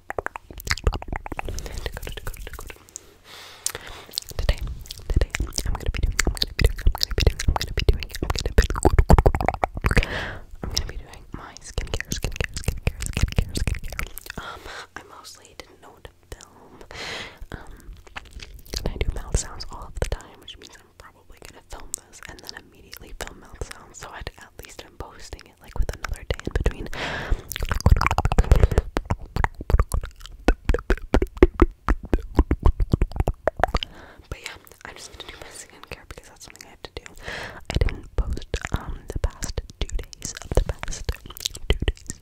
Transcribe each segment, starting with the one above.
Today, today, I'm gonna be doing, I'm gonna be doing, I'm gonna be doing, I'm gonna be doing, I'm gonna be doing, I'm gonna be doing my skincare, skincare, skincare, skincare, skincare. Um, I mostly didn't know what to film. Um, and I do mouth sounds all of the time, which means I'm probably gonna film this and then immediately film mouth sounds. So I had at least I'm posting it like with another day in between. But yeah, I just need to do my skincare because that's something I have to do. I didn't post um the past two days the past two days.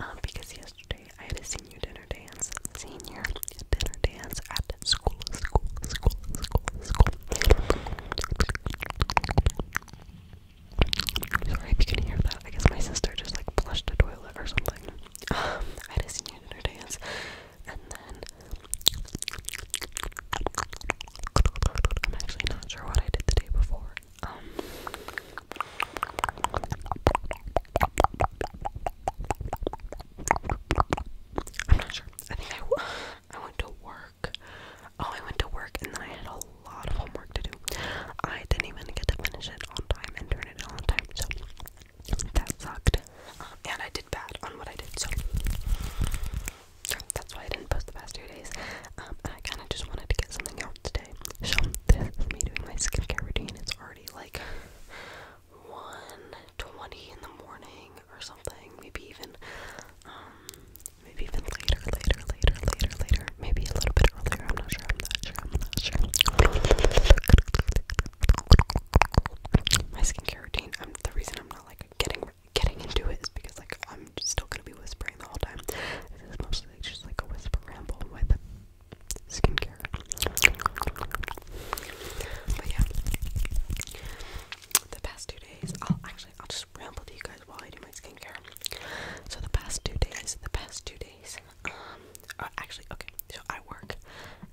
Um, because yesterday I had a senior dinner dance, senior dinner dance at school, school, school, school, school. Sorry if you can hear that. I guess my sister just like flushed the toilet or something. Um, I had a senior dance, and then I'm actually not sure what I did the day before. Um, I'm not sure. I think I, I went to work. Oh, I went to work and I had a lot of homework to do. I didn't even get to finish it on time and turn it on time, so that sucked. Uh, and I did bad on what I did, so that's why I didn't post the past two days. Um, I kind of just wanted to get something out today. So this me doing my skincare routine. It's already like one twenty in the morning or something. Maybe even um maybe even later, later, later, later, later. Maybe a little bit earlier. I'm not sure. I'm not sure. I'm not sure. My skincare routine. I'm the reason I'm not like getting getting into it is because like I'm still gonna be whispering the whole time. This is mostly just like a whisper ramble with skincare. But yeah the past two days, I'll actually I'll just ramble to you guys while I do my skincare. So the past two days, the past two days, um, actually, okay. So I work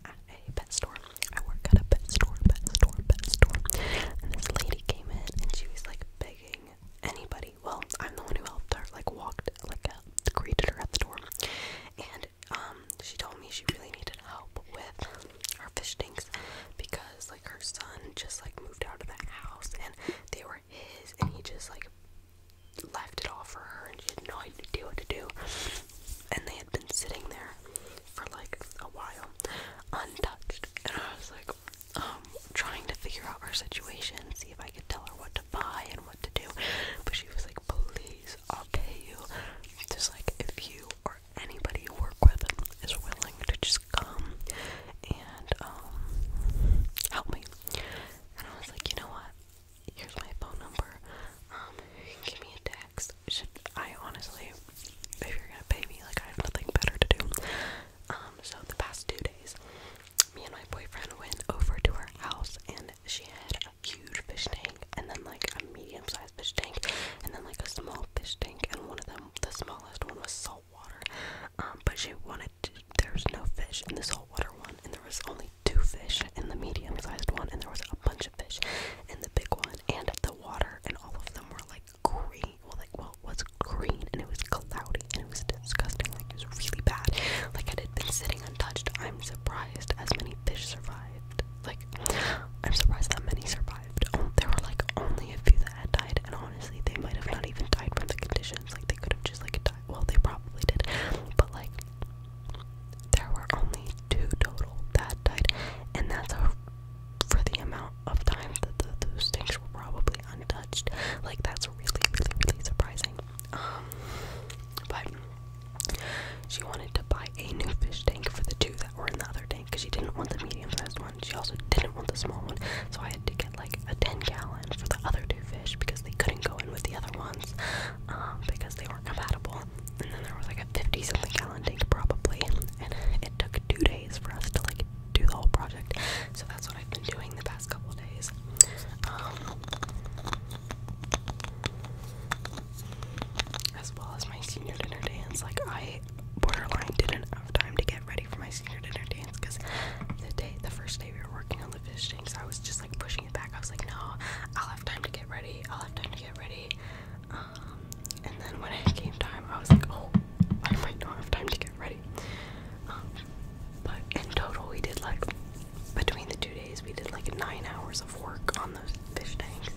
at a pet store. I work at a pet store, pet store, pet store. And this lady came in and she was like begging anybody. Well, I'm the one who helped her, like walked, like uh, greeted her at the door, and um, she told me she really needed help with her fish tanks because like her son just like moved out of the house and they were his and he just like left it all for her and she had no idea what to do and they had been sitting there for like a while untouched and I was like um trying to figure out her situation see if I could tell her what to buy and what to do but she was like please I'll pay you just like if you are." anybody you work with is willing to just come and um, help me. And I was like, you know what? Here's my phone number. Um, give me a text. Should I honestly, if you're gonna pay me, like I have nothing better to do. Um, so the past two days, me and my boyfriend went over to her house, and she had a huge fish tank, and then like a medium-sized size fish tank, and then like a small fish tank, and one of them, the smallest one, was salt water. Um, but she wanted to, there was no fish in the salt water one, and there was only two fish in the medium sized one, and there was a bunch of fish in the big one, and the water, and all of them were like green. Well, like well, it was green, and it was cloudy, and it was disgusting. Like it was really bad. Like it had been sitting untouched. I'm surprised as many fish survived died. Like, I'm surprised that many survived. Oh, there were like only a few that had died, and honestly, they might have not even died from the conditions. Like, they could have just like died. Well, they probably did, but like, there were only two total that died, and that's a, for the amount of time that the, those things were probably untouched. Like, that's really, really, really surprising. Um, but she wanted to buy a new fish tank for the two that were in the other tank because she didn't want the medium sized one. She also didn't want the small one. So I had to get like a 10 gallon for the other two fish because they couldn't go in with the other ones um, because they weren't compatible. And then there was like a 50 something gallon tank probably. And it took two days for us to like do the whole project. So that's what I've been doing the past couple days. Um, as well as my senior dinner dance. Like I borderline didn't have time to get ready for my senior dinner dance because the day, the first day we were working on the fish tanks, I was just like pushing it back. I was like, no, I'll have time to get ready. I'll have time to get ready. Um, and then when it came time, I was like, oh, I might not have time to get ready. Um, but in total, we did like between the two we did like nine hours of work on those fish tanks,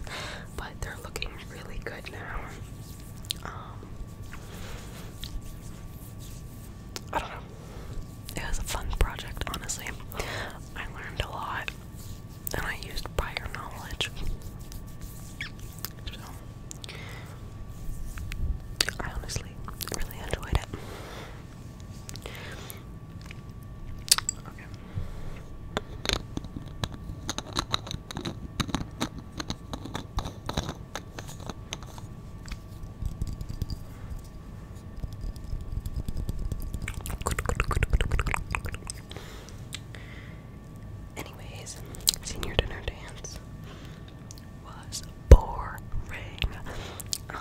but they're looking really good now. Um, I don't know. It was a fun project, honestly. I learned a lot, and I used prior knowledge. So, I honestly really enjoyed it. Okay. Anyways, senior dinner dance was boring. Uh,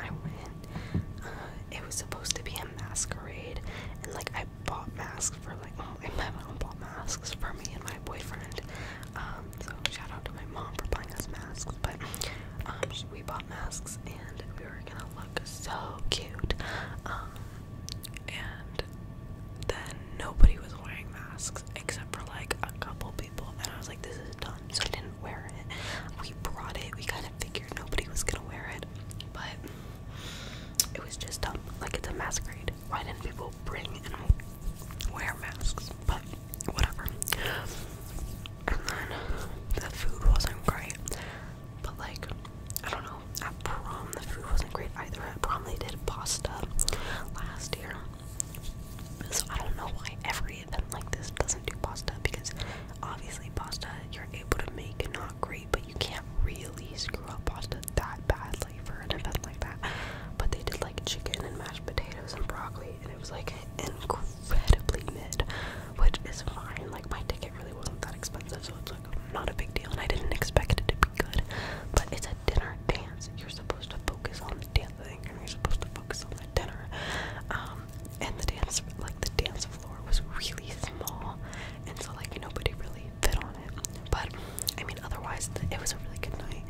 I went. Uh, it was supposed to be a masquerade, and like I bought masks for like my mom bought masks for me and my boyfriend. Um, so shout out to my mom for buying us masks. But um, we bought masks and we were gonna look so cute. Um, and then nobody was wearing masks except for like a couple people, and I was like, this is dumb. So wear it. We brought it, we kind of figured nobody was gonna wear it, but it was just dumb. Like, it's a masquerade. Why didn't people bring and wear masks? But whatever. And then the food wasn't great, but like, I don't know. At prom, the food wasn't great either. At prom, they did pasta last year. So I don't know why every agree that like this doesn't do pasta because obviously pasta you're able to make not great, but you can't really screw up pasta that badly for an event like that. But they did like chicken and mashed potatoes and broccoli, and it was like incredibly mid, which is fine. Like my ticket really wasn't that expensive, so it's like not a big deal, and I didn't expect it to be good. But it's a dinner dance. You're supposed to focus on the dancing, and you're supposed to focus on the dinner. Um, and the dance like the dance floor was really small and so like nobody really fit on it but i mean otherwise it was a really good night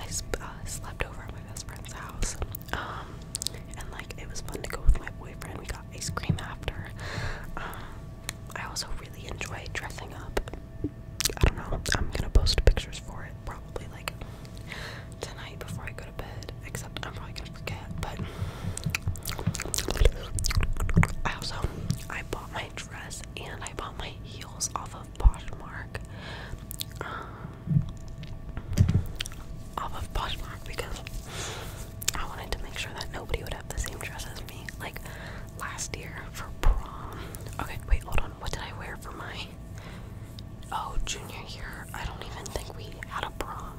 i uh, slept over at my best friend's house um, and like it was fun to go with my boyfriend we got ice cream after um, i also really enjoy dressing up i don't know i'm gonna post pictures for it probably like tonight before i go except I'm probably gonna forget, but I also I bought my dress and I bought my heels off of Poshmark. Um, off of Poshmark because I wanted to make sure that nobody would have the same dress as me. Like last year for prom. Okay, wait, hold on. What did I wear for my Oh, junior year, I don't even think we had a prom.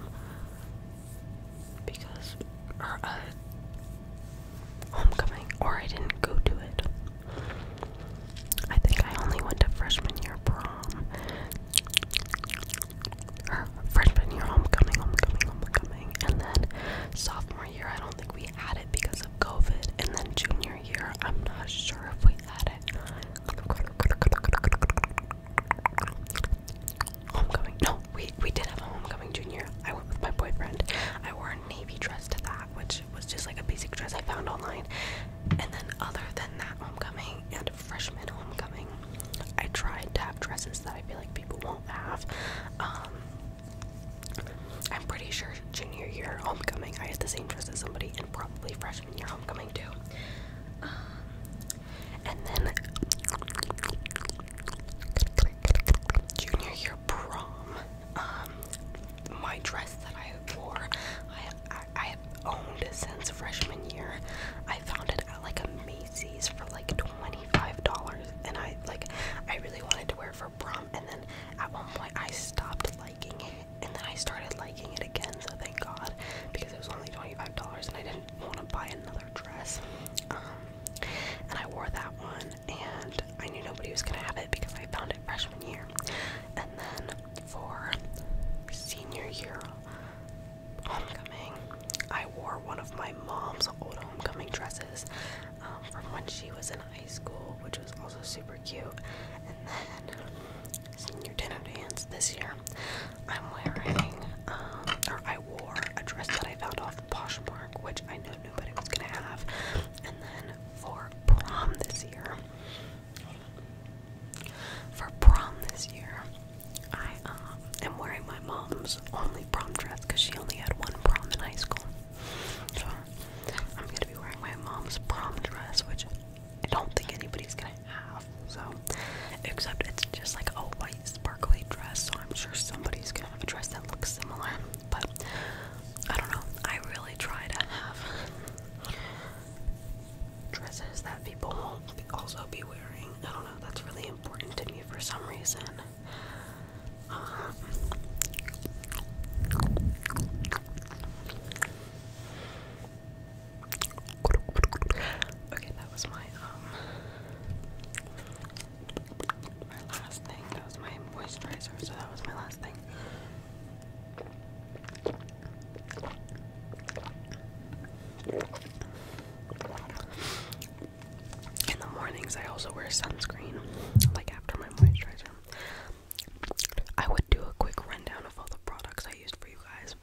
Because, or a uh, homecoming, or I didn't go to it. I think I only went to freshman year prom. freshman year homecoming, homecoming, homecoming. And then sophomore year, I don't think we had it because of COVID. And then junior year, I'm not sure if we had it. Homecoming. No, we we did have a homecoming junior. I went with my boyfriend. I wore a navy dress to that, which was just like a basic dress I found online. And then other than that homecoming and freshman homecoming, I tried to have dresses that I feel like people won't have. Um I'm pretty sure junior year homecoming I had the same dress as somebody and probably freshman freshman homecoming too. Um, and then junior year prom. Um, my dress that I wore, I, I, I have owned since freshman year. I found it at like a Macy's for like $25, and I like I really wanted to wear it for prom. And then at one point I stopped like liking it, and then I started liking it again, so thank God, because it was only $25 and I didn't want to buy another dress. Um, and I wore that one, and I knew nobody was going to have it because I found it freshman year. And then for senior year homecoming, I wore one of my mom's old homecoming dresses um, from when she was in high school, which was also super cute. And then senior dinner dance this year, I'm wearing, um, or I wore a dress that I found off Poshmark, which I knew nobody was gonna have. And then for prom this year, for prom this year, I uh, am wearing my mom's only prom dress because she only had one prom in high school. So I'm gonna be wearing my mom's prom dress, which I don't think anybody's gonna have. So, except it's just like a white sparkly dress, so I'm sure somebody's gonna have a dress that looks similar. But I don't know. I really try to have dresses that people won't also be wearing. I don't know. That's really important to me for some reason. Um, Okay, that was my um my last thing. That was my moisturizer, so that was my last thing. In the mornings I also wear sunscreen like after my moisturizer. I would do a quick rundown of all the products I use for you guys,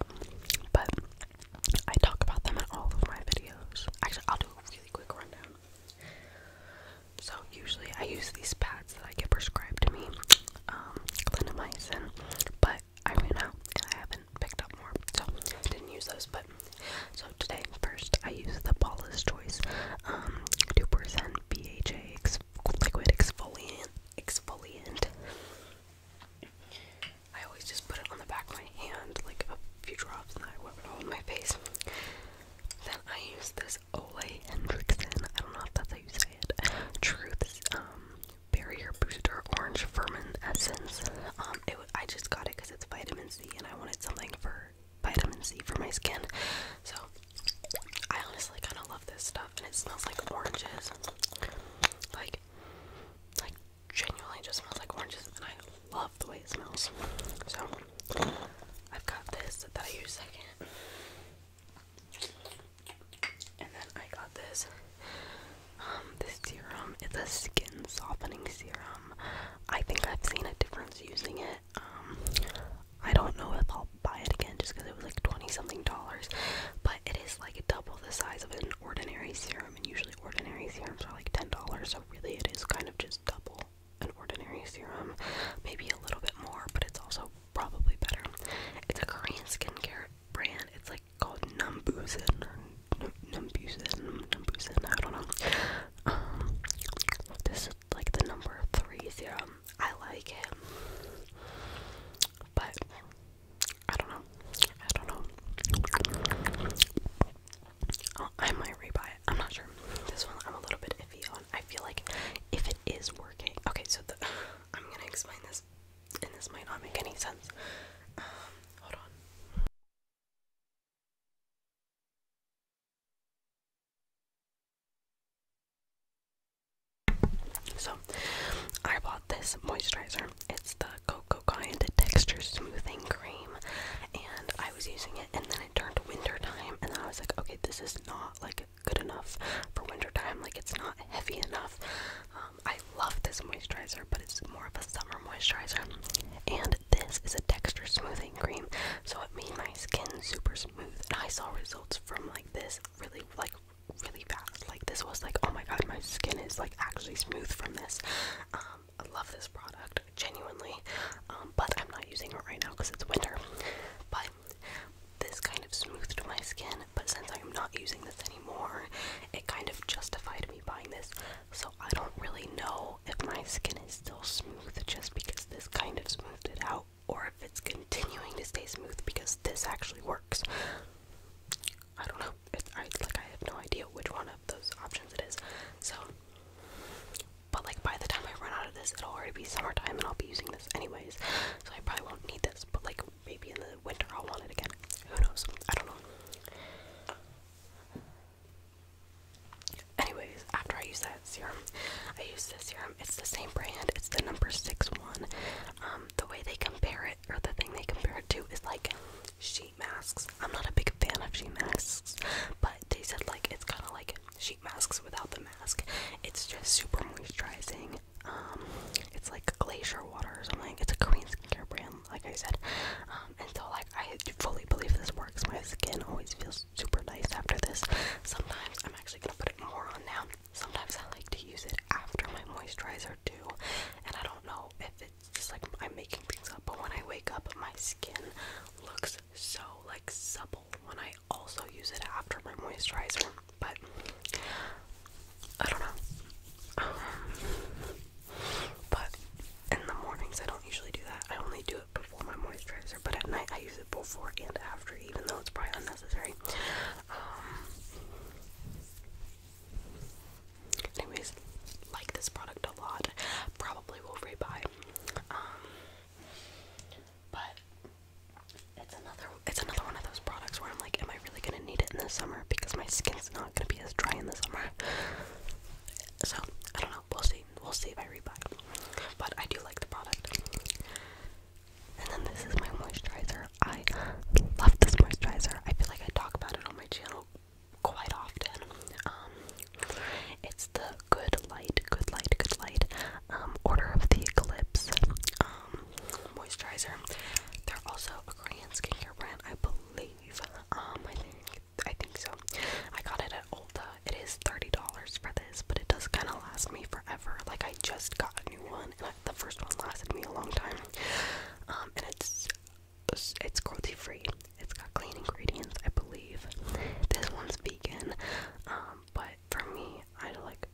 but I talk about them in all of my videos. Actually, I'll do a really quick rundown. So, usually I use these pads that I get prescribed to me, um, clindamycin, but I ran out and I haven't picked up more, so didn't use those. But so today, first, I use the Paula's Choice um, 2% BHA liquid exfoliant. Exfoliant. I always just put it on the back of my hand, like a few drops, and I rub it all on my face. Then I use this Olay Hendrickson. I don't know if that's how you say it. Truth's um, Barrier Booster Orange Firmin Essence. Um, I just got it because it's vitamin C, and I wanted something for vitamin C for my skin. So I honestly kind of love this stuff, and it smells like oranges. Like, like genuinely just smells like oranges, and I love the way it smells. So, I've got this that I use second. And then I got this, um, this serum. It's a skin softening serum. I think I've seen a difference using it. Um, I don't know if I'll buy it again just because it was like 20 something dollars, but it is like double the size of an ordinary serum, and usually ordinary serums are like $10, so really it is kind of just double an ordinary serum, maybe a little bit more, but it's also probably better. It's a Korean skincare brand, it's like called Numbusin or Numbusin, I don't know. Um, this is like the number three serum. I like it, but I don't know. I don't know. Oh, I might rebuy I'm not sure. This one I'm a little bit iffy on. I feel like if it is working, okay. So I'm gonna explain this, and this might not make any sense. Um, hold on. So, I bought this moisturizer. It's the Cocoa Kind Texture Smoothing Cream, and I was using it, and then it turned winter time, and I was like, okay, this is not like good enough for winter time. Like, it's not heavy enough. Um, I love this moisturizer, but it's more of a summer moisturizer, and this is a texture smoothing cream, so it made my skin super smooth and I saw results from like this really like really fast like this was like oh my god my skin is like actually smooth from this um I love this product genuinely um but I'm not using it right now because it's winter but this kind of smoothed my skin but since I'm not using this anymore it kind of justified me buying this so I don't really know if my skin is still smooth just because this kind of smoothed it out or if it's continuing to stay smooth because this actually works. I don't know. It's, like I have no idea which one of those options it is. So, but like by the time I run out of this, it'll already be summertime, and I'll be using this anyways. So I probably won't need this. But like maybe in the winter I'll want it again. Who knows? I don't know. Anyways, after I use that serum, I use this serum. It's the same brand. It's the number six one. Um, the way they compare it, or the thing they compare it to, is like sheet masks. I'm not a big fan of sheet masks, but they said like it's kind of like sheet masks without the mask. It's just super moisturizing. Um, it's like glacier water or something. It's a Korean skincare brand, like I said. Um, and so like I fully believe this works. My skin always feels super nice after this. Sometimes I'm actually gonna put it more on now. Sometimes I like to use it after my moisturizer too, and I don't know if it's just like I'm making things up, but when I wake up, my skin looks so like supple when I also use it after my moisturizer. But I don't know. Um, but in the mornings, I don't usually do that. I only do it before my moisturizer, but at night I use it before and after, even though it's probably unnecessary. Um, anyways, like this product a lot. Probably will rebuy. Um, but it's another it's another one of those products where I'm like, am I really gonna need it in the summer? Because my skin's not gonna be as dry in the summer. So I don't know. We'll see. We'll see if I rebuy. But I do like the product. And then this is my moisturizer. I love this moisturizer. I feel like I talk about it on my channel quite often. Um, it's the Good Light, Good Light, Good Light, um, Order of the Eclipse um, moisturizer. They're also a Korean skincare brand, I believe. Um, I think I think so. I got it at Ulta. It is $30 for this, but it does kind of last me forever. Like, I just got a new one, and the first one lasted me a long time. Um, and it's it's cruelty free. It's got clean ingredients, I believe. This one's vegan. Um, but for me, I like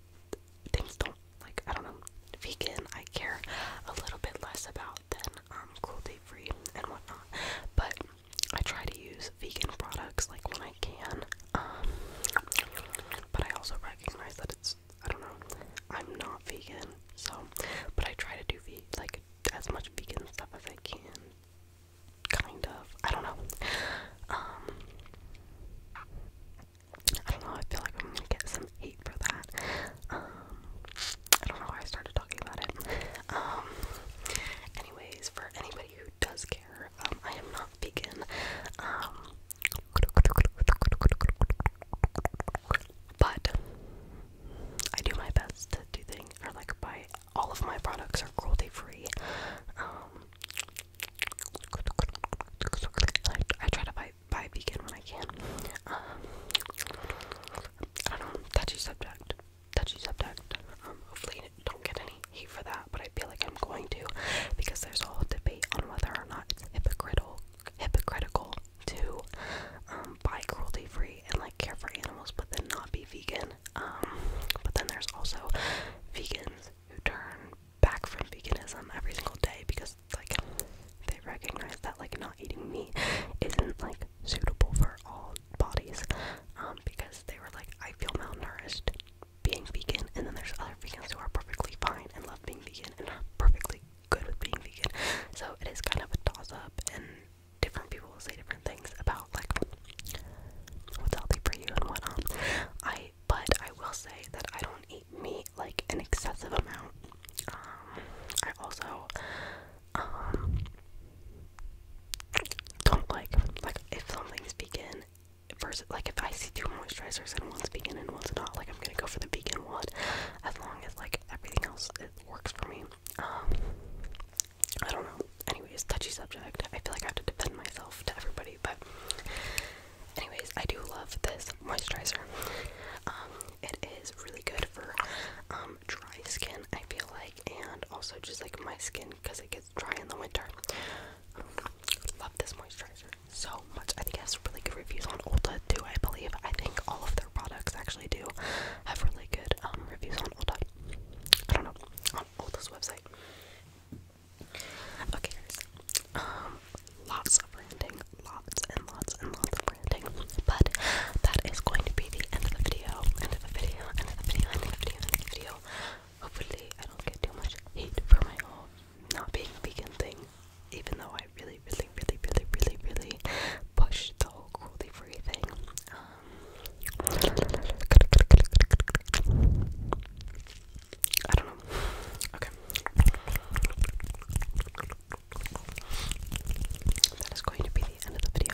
things don't like I don't know vegan. I care a little bit less about than um cruelty free and whatnot. But I try to use vegan products like when I can, um, but I also recognize that it's I don't know I'm not vegan, so but I try to do ve like as much vegan stuff as I can. Kind of, I don't know. Um, I don't know. I feel like I'm gonna get some hate for that. Um, I don't know why I started talking. Um, anyways, for anybody who does care, um, I am not vegan. Um, but I do my best to do things, or like buy all of my products are cruelty free. I, try to buy buy vegan when I can. I don't touchy subject touchy subject. Um, hopefully, don't get any hate for that, but I feel like I'm going to because there's a whole debate on whether or not it's hypocritical, hypocritical to um, buy cruelty-free and like care for animals, but then not be vegan. Um, but then there's also vegans who turn back from veganism every single day because like they recognize that like not eating meat isn't like suitable for all bodies um, because they were like, I feel malnourished being vegan, and then there's other vegans who are perfectly fine and love being vegan and are perfectly good with being vegan. So it is kind of a toss up, and different people will say different things about like what's healthy for you and what um, I. But I will say that I don't eat meat like an excessive amount. Um, I also um, don't like. Like, if something's vegan, versus, like, if I see two moisturizers and one's vegan and one's not, like, I'm gonna go for the vegan one as long as, like, everything else it works for me. Um, I don't know. Anyways, touchy subject. I feel like I have to defend myself to everybody, but anyways, I do love this moisturizer. Um, it is really good for um dry skin. I feel like and also just like my skin because it gets dry in the winter. Love this moisturizer so much. I think it has really good reviews on Ulta too. I believe I think all of their products actually do have really good um, reviews on Ulta. I don't know on Ulta's website. Okay, guys. Um, lots of branding, lots and lots and lots of branding. But that is going to be the end of the video. End of the video. End of the video. End of the video. End of the video. Hopefully, I don't get too much hate for my whole not being vegan thing. Even though I really, really, really, really, really, really pushed the whole cruelty-free thing. Um, okay. That is going to be the end of the video